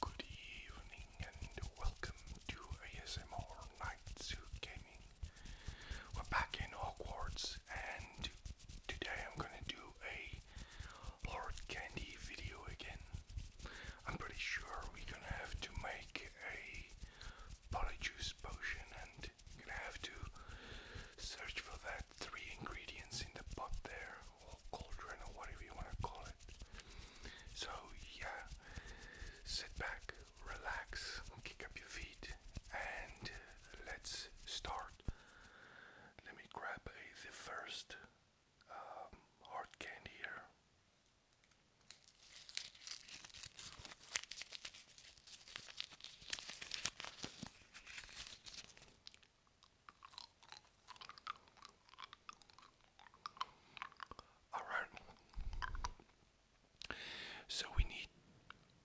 Good evening and welcome to ASMR Night Zoo Gaming. We're back in Hogwarts and today I'm gonna do a Lord Candy video again. I'm pretty sure we're gonna have to make a polyjuice potion and gonna have to search for that three ingredients in the pot there, or cauldron, or whatever you want to call it. So, yeah, sit back, relax, kick up your feet, and let's start. Let me grab the first um, hard candy here. All right. So we need,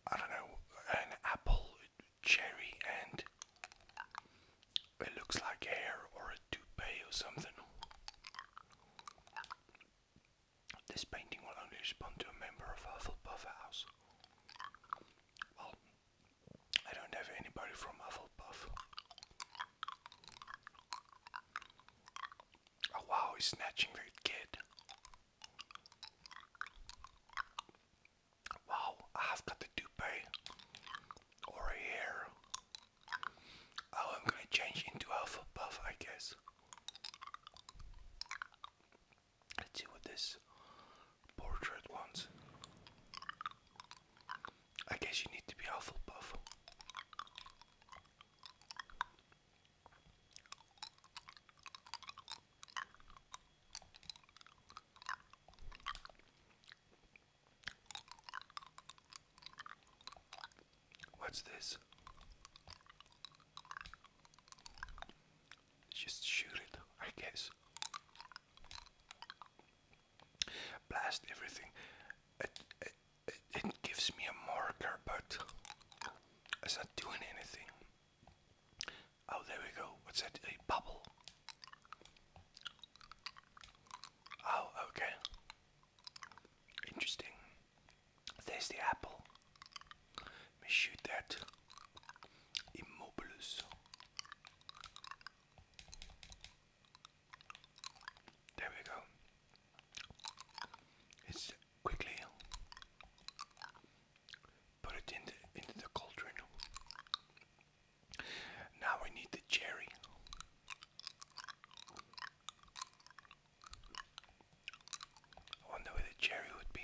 I don't know, an apple, cherry, and it looks like hair or a toupee or something. This painting will only respond to a member of Hufflepuff House. I don't have anybody from Hufflepuff. Oh wow, he's snatching the kid. Wow, I've got the toupee or a hair. Oh, I'm gonna change into Hufflepuff, I guess. Let's see what this portrait wants. I guess you need to be Hufflepuff. What's this? Just shoot it, I guess. Blast everything. It, it, it, gives me a marker, but it's not doing anything. Oh, there we go. What's that? A bubble. Oh, okay. Interesting. There's the apple. Let me shoot that et There we go. It's quickly put it in the, into the cauldron. Now we need the cherry. I wonder where the cherry would be.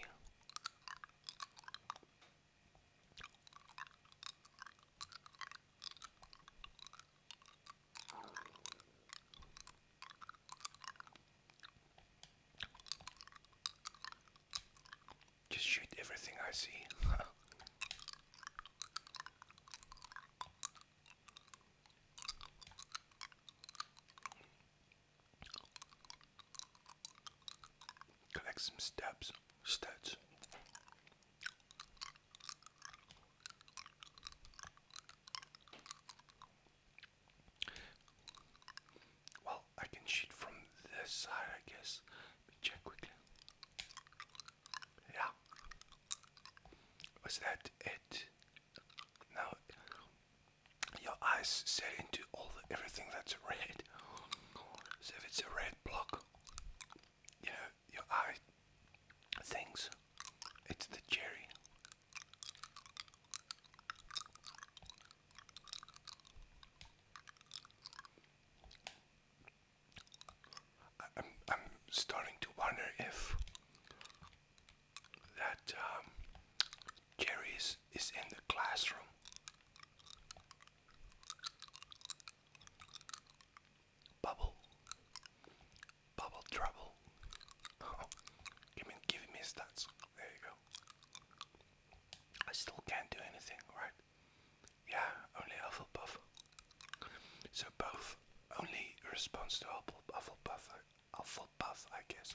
Just shoot everything I see. Collect some steps, stats. Well, I can shoot from this side, I guess. Let me check quickly. Yeah. Was that it? No, your eyes set into all the, everything that's red. So if it's a red block, you know, your eye thinks it's the cherry. I'm, I'm starting to wonder if that um, is, in the classroom. Bubble, bubble trouble. give me, give me stats. There you go. I still can't do anything, right? Yeah, only Hufflepuff. So both only responds to Hufflepuff, Hufflepuff, I guess.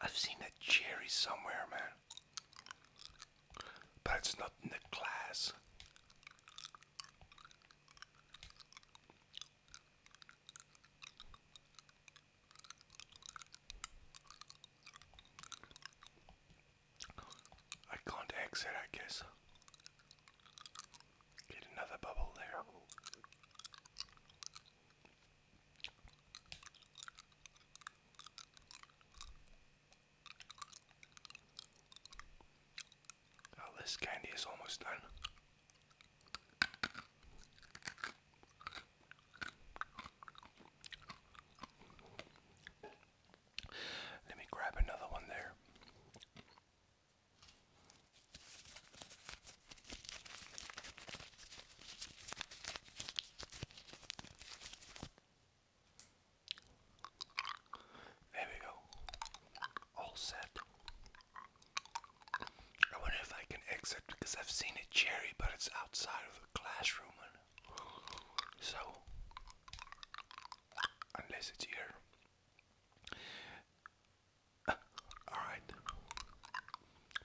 I've seen that cherry somewhere, man. But it's not in the class. I can't exit, I guess. Get another bubble there. Oh, this candy is almost done. Let me grab another one there. There we go. All set. I wonder if I can exit because I've seen a cherry, but it's outside of the classroom. So, unless it's here, Alright.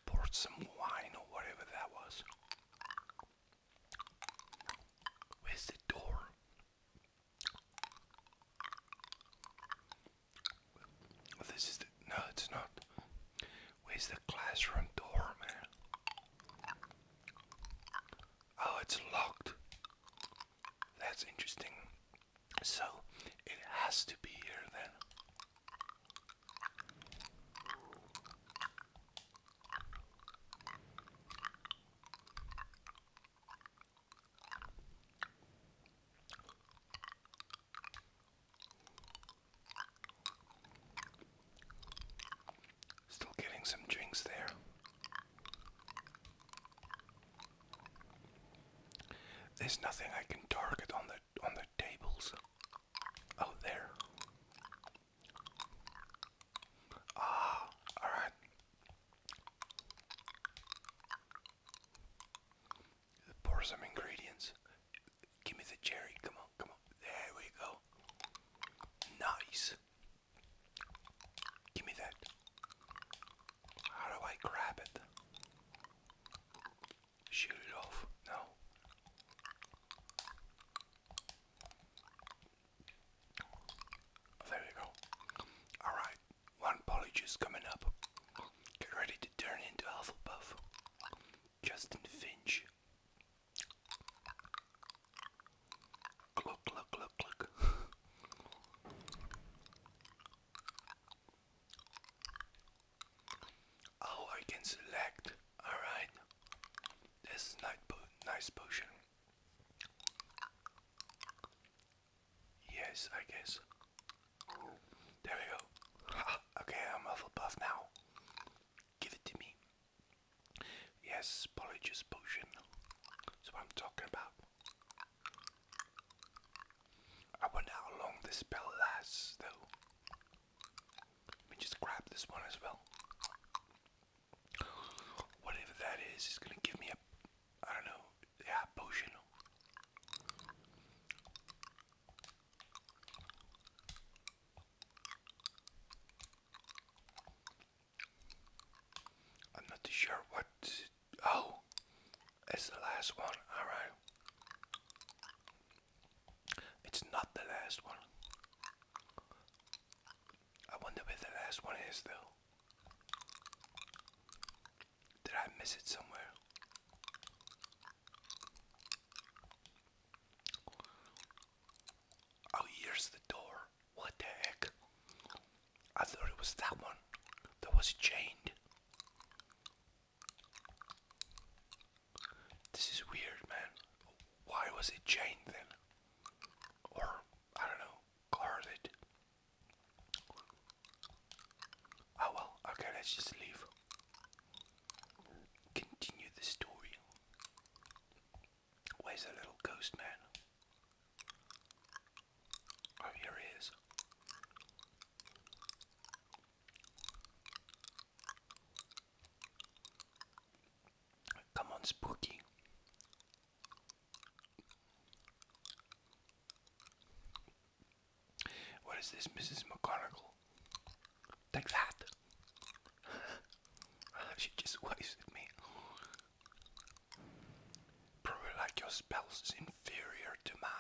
Poured some wine or whatever that was. Where's the door? This is No, it's not. Where's the classroom door, man? Oh, it's locked. That's interesting. So it has to be here then. Still getting some drinks there. There's nothing I can target on the on the tables. Oh there. Ah, alright. Pour some ingredients. Give me the cherry. Come on, come on. There we go. Nice. Give me that. How do I grab it? Shoot it off? No. There you go. Alright, one polyjuice coming up. Get ready to turn into Hufflepuff. Justin Finch. Look, look, look, look. Oh, I can select. All right. This nice, po nice potion. Yes, I guess. There we go. okay, I'm Hufflepuff now. Give it to me. Yes, polyjuice potion. That's what I'm talking about. I wonder how long this spell lasts, though. Let me just grab this one as well. Whatever that is, is gonna give me a, I don't know, yeah, potion. I'm not too sure what Oh, it's the last one. All right. It's not the last one. I wonder where the last one is, though. Did I miss it somewhere? Oh, here's the door. What the heck? I thought it was that one that was chained. This is weird, man. Why was it chained then? Or, I don't know, guarded. Oh well, okay, let's just leave. Continue the story. Where's the little ghost man? Oh, here he is. Come on, Spooky. What is this, Mrs. McGonagall? Take that! she just wasted me. Probably like your spell's is inferior to mine.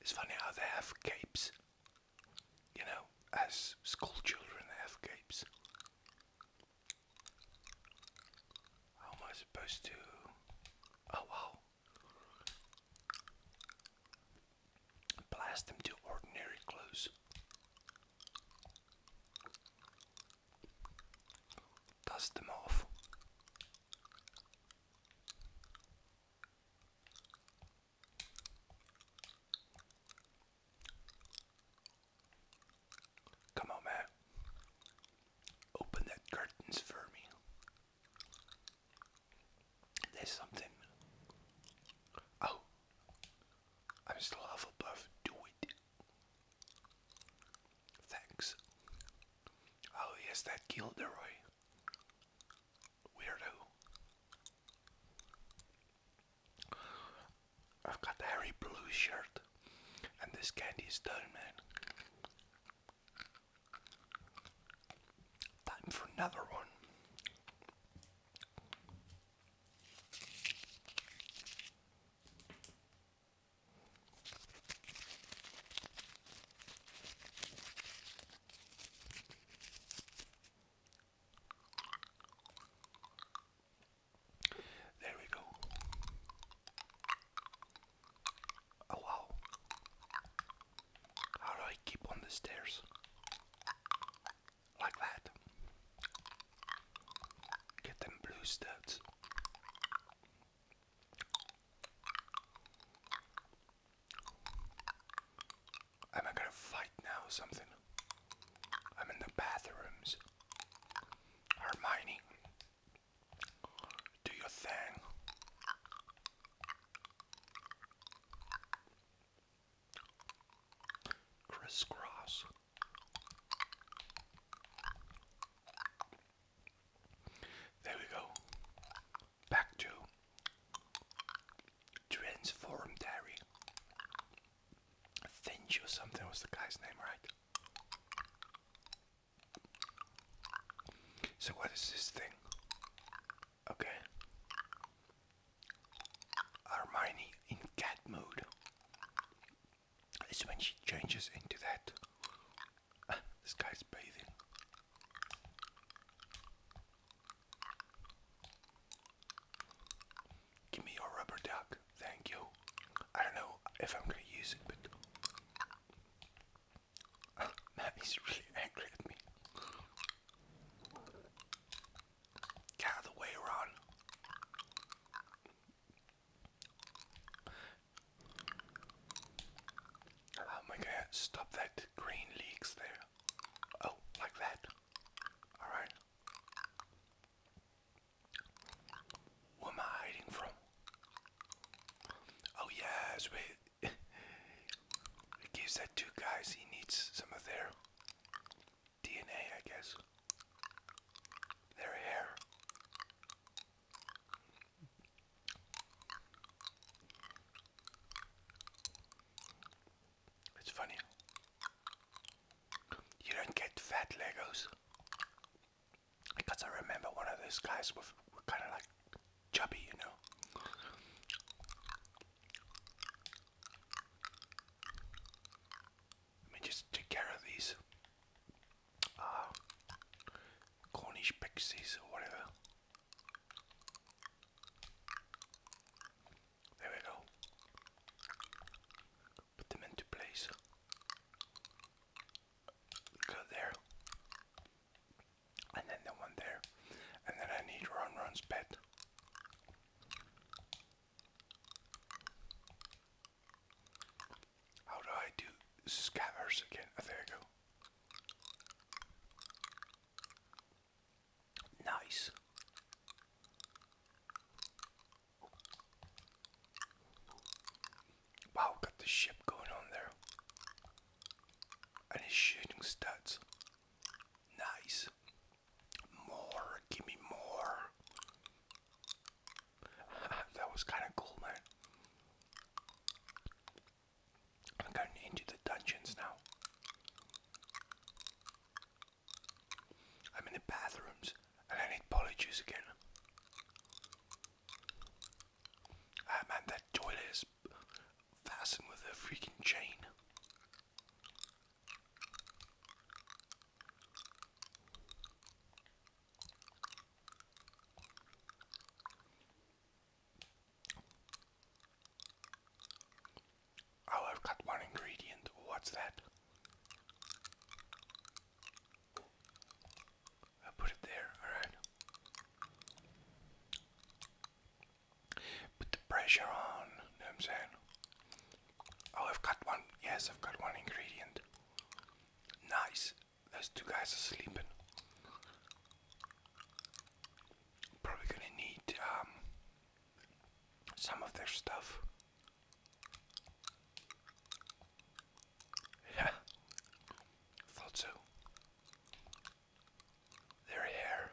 It's funny how they have capes. You know, as school children they have capes. How am I supposed to? Oh wow. Blast them to ordinary clothes. Dust them off. Come on, man. Open that curtains for me. There's something. Oh, I'm still Hufflepuff. Do it. Thanks. Oh yes, that Gilderoy. Weirdo. I've got the Harry Blue shirt, and this candy is man. Time for another one. There we go. Oh wow. How do I keep on the stairs? Like that. Get them blue studs. Am I gonna fight now something? I'm in the bathrooms. Hermione. Do your thing. Crisscross. There we go. Back to Transform Dairy. Finch or something was the guy's name, right? So, what is this thing? Okay. Hermione in cat mode is when she changes into that. Ah, this guy's bathing. Give me your rubber duck. Thank you. I don't know if I'm gonna use it, but Maddie's really angry at me. Get out of the way, Ron. How oh am I gonna stop that green leaks there? Oh, like that. Alright. What am I hiding from? Oh yes, wait. it gives that two guys he needs some of their DNA, I guess. Their hair. It's funny. You don't get fat Legos. Because I remember one of those guys was kind of like chubby, you know. Let me just take care of these uh, Cornish pixies or whatever. There we go put them into place. Go there. And then the one there. And then I need Ron Ron's pet. How do I do scatters again? Oh, there you go. Nice. Wow, got the ship going on there. And his shooting stats. Nice. More, give me more. that was kind of cool, man. I'm going into the dungeons now. I'm in the bathrooms and I need polyjuice again. Ah, man, that toilet is fastened with a freaking chain. Oh, I've got one ingredient. What's that? i put it there, alright. Put the pressure on, know what I'm saying? Oh, I've got one. Yes, I've got one ingredient. Nice. Those two guys are sleeping. Probably gonna need um, some of their stuff. Yeah, thought so. Their hair.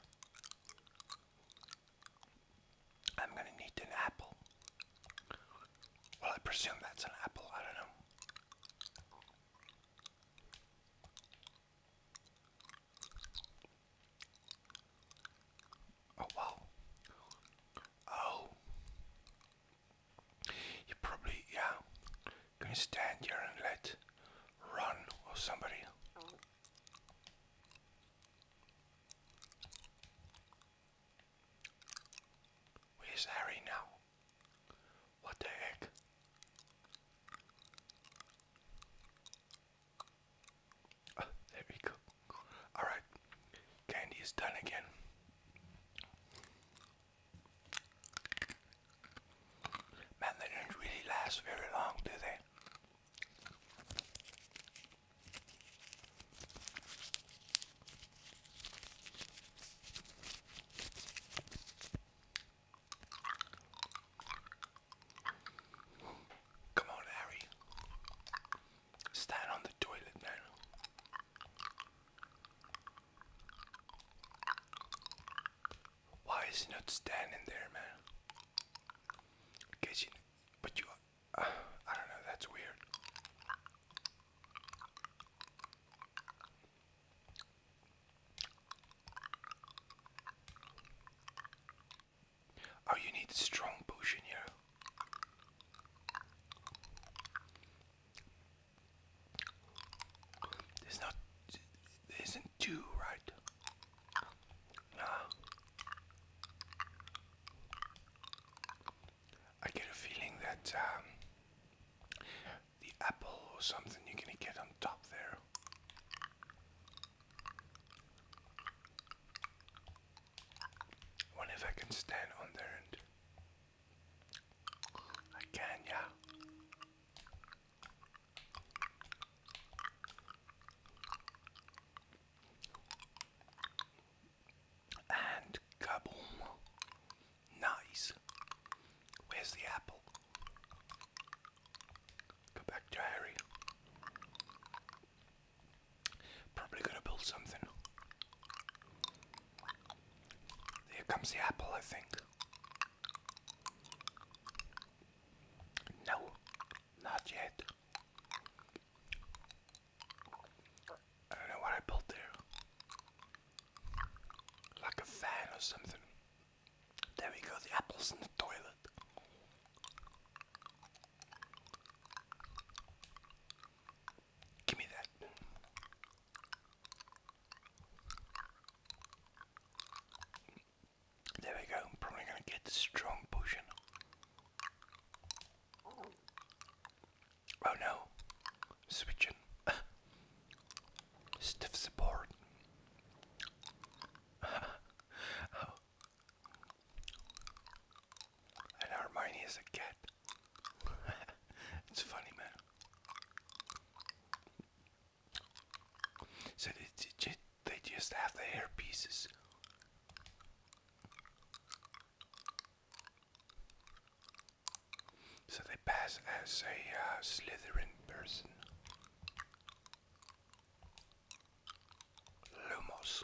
I'm gonna need an apple. Well, I presume that's an apple, I don't know. Oh wow. Oh. You probably, yeah. Can you stand here and let run or somebody? Where's Harry now? What the heck? Oh, there we go. Alright, candy is done again. Man, they don't really last very long, do they? Come on, Harry stand on the toilet now. Why is he not standing there, man? Guess you, but you, uh, I don't know. That's weird. Oh, you need strong push in here. There's not, there isn't two, right? Nah. I get a feeling that um, the apple or something you're gonna get on top there. What if I can stand on there and I can, yeah. And kaboom. Nice. Where's the apple? Go back to Harry. Probably gonna build something. Here comes the apple, I think. No, not yet. I don't know what I built there. Like a fan or something. There we go, the apple's in the toilet. Give me that. There we go. probably going to get strong potion. Oh no. Switching. Stiff support. oh, and Hermione is a cat. it's funny, man. So they, they just have the hair pieces. So they pass as a uh, Slytherin person. Lumos.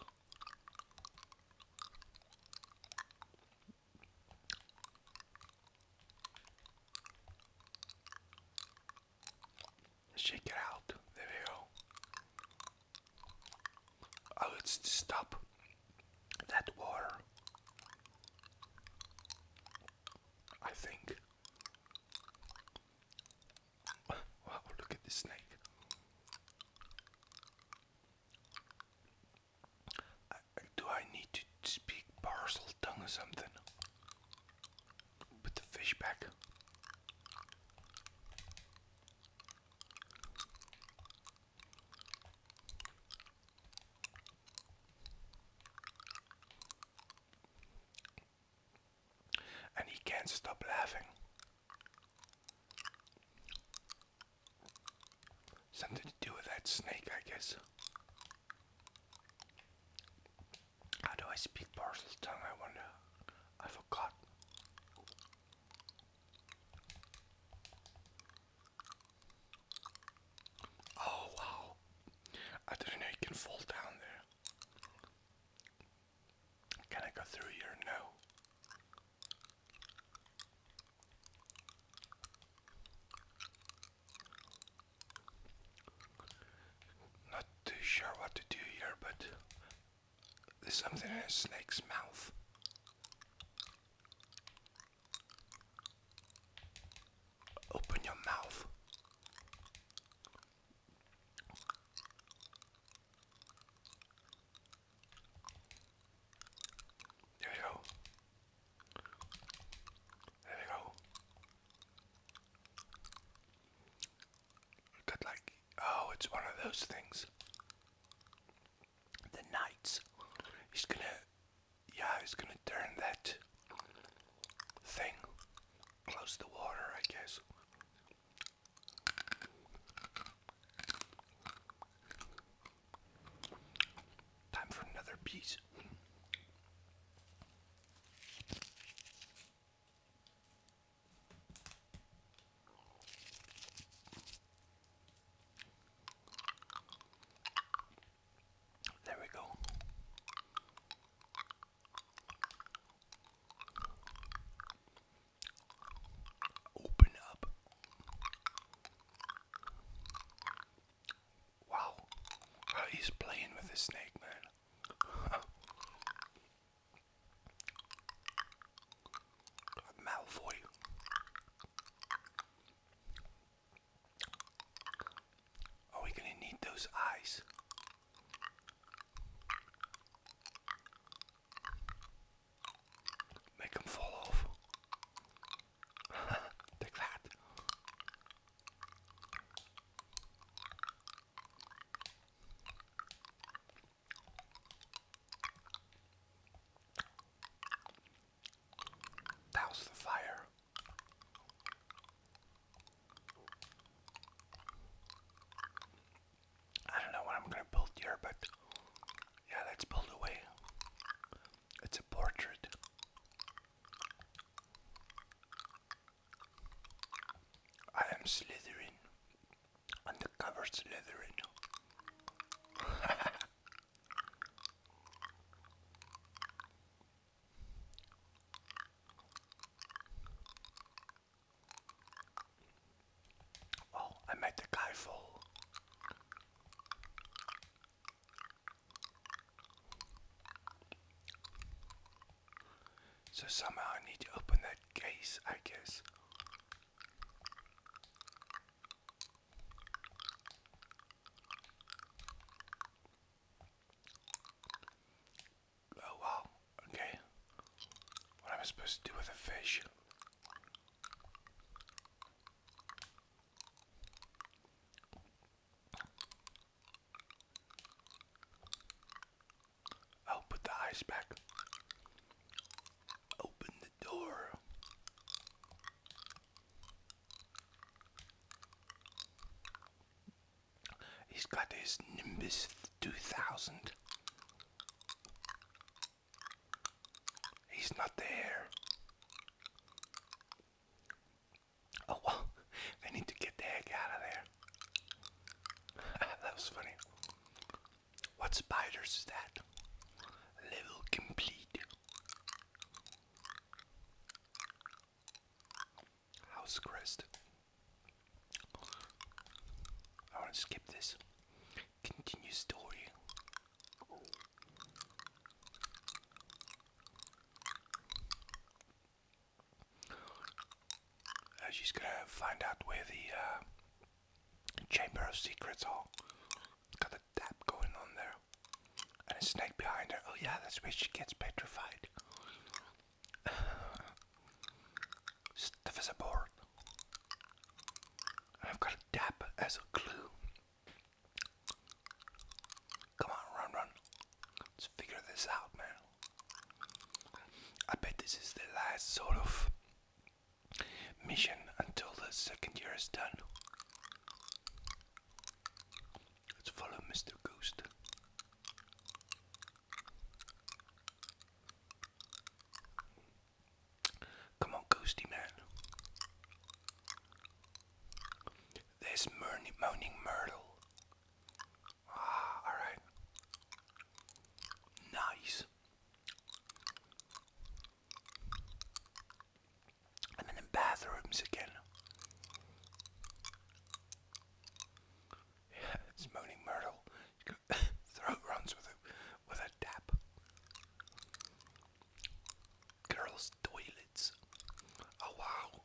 Shake it out. There we go. Oh, I would stop that water. I think Wow, look at the snake. do I need to speak parcel tongue or something? Put the fish back and he can't stop laughing. Something to do with that snake, I guess. How do I speak parcel I wonder? I forgot. Oh wow. I didn't know you can fall down there. Can I go through here? No. Not too sure what to do here, but there's something in a snake's mouth. Open your mouth. There we go. There we go. Good like oh it's one of those things. The knights. He's gonna yeah, he's gonna turn that thing close the water I guess. Time for another piece. There we go. Open up. Wow. he's playing with a snake, man. Malfoy. Are oh, we gonna need those eyes? Make them fall off. Take that. Douse the fire. I don't know what I'm gonna build here, but yeah, let's build away. It's a portrait. I am Slytherin. Undercover Slytherin. Oh, I made the guy fall. So somehow I need to open that case, I guess. Oh wow, okay. What am I supposed to do with a fish? I'll oh, put the eyes back. Open the door. He's got his Nimbus 2000. He's not there. Oh well, they need to get the heck out of there. that was funny. What spiders is that? Level complete house crest. I want to skip this. Continue story. Uh, she's gonna find out where the uh, Chamber of Secrets are. Got a tap going on there. And a snake behind her. Oh, yeah, that's where she gets petrified. Stuff as a board. I've got a dap as a clue. Come on, run, run. Let's figure this out, man. I bet this is the last sort of mission until the second year is done. Let's follow Mr. Ghost. Come on, ghosty man. There's Mourning, Moaning Myrtle. Ah, alright. Nice. And then the bathrooms again. Yeah, it's Moaning Myrtle. Throat runs with a, with a tap. Girls' toilets. Oh wow.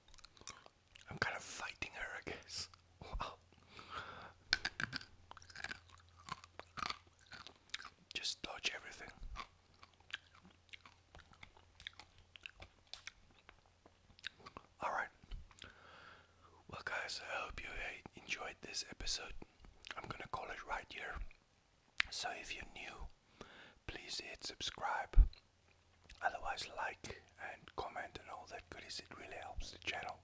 I'm kind of fighting her, I guess. Wow. Just dodge everything. Alright. Well, guys, I hope you uh, enjoyed this episode. I'm gonna call it right here. So, if you're new, please hit subscribe. Otherwise, like and comment and all that goodies. It really helps the channel.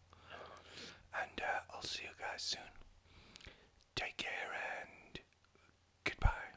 And uh, I'll see you guys soon. Take care and goodbye.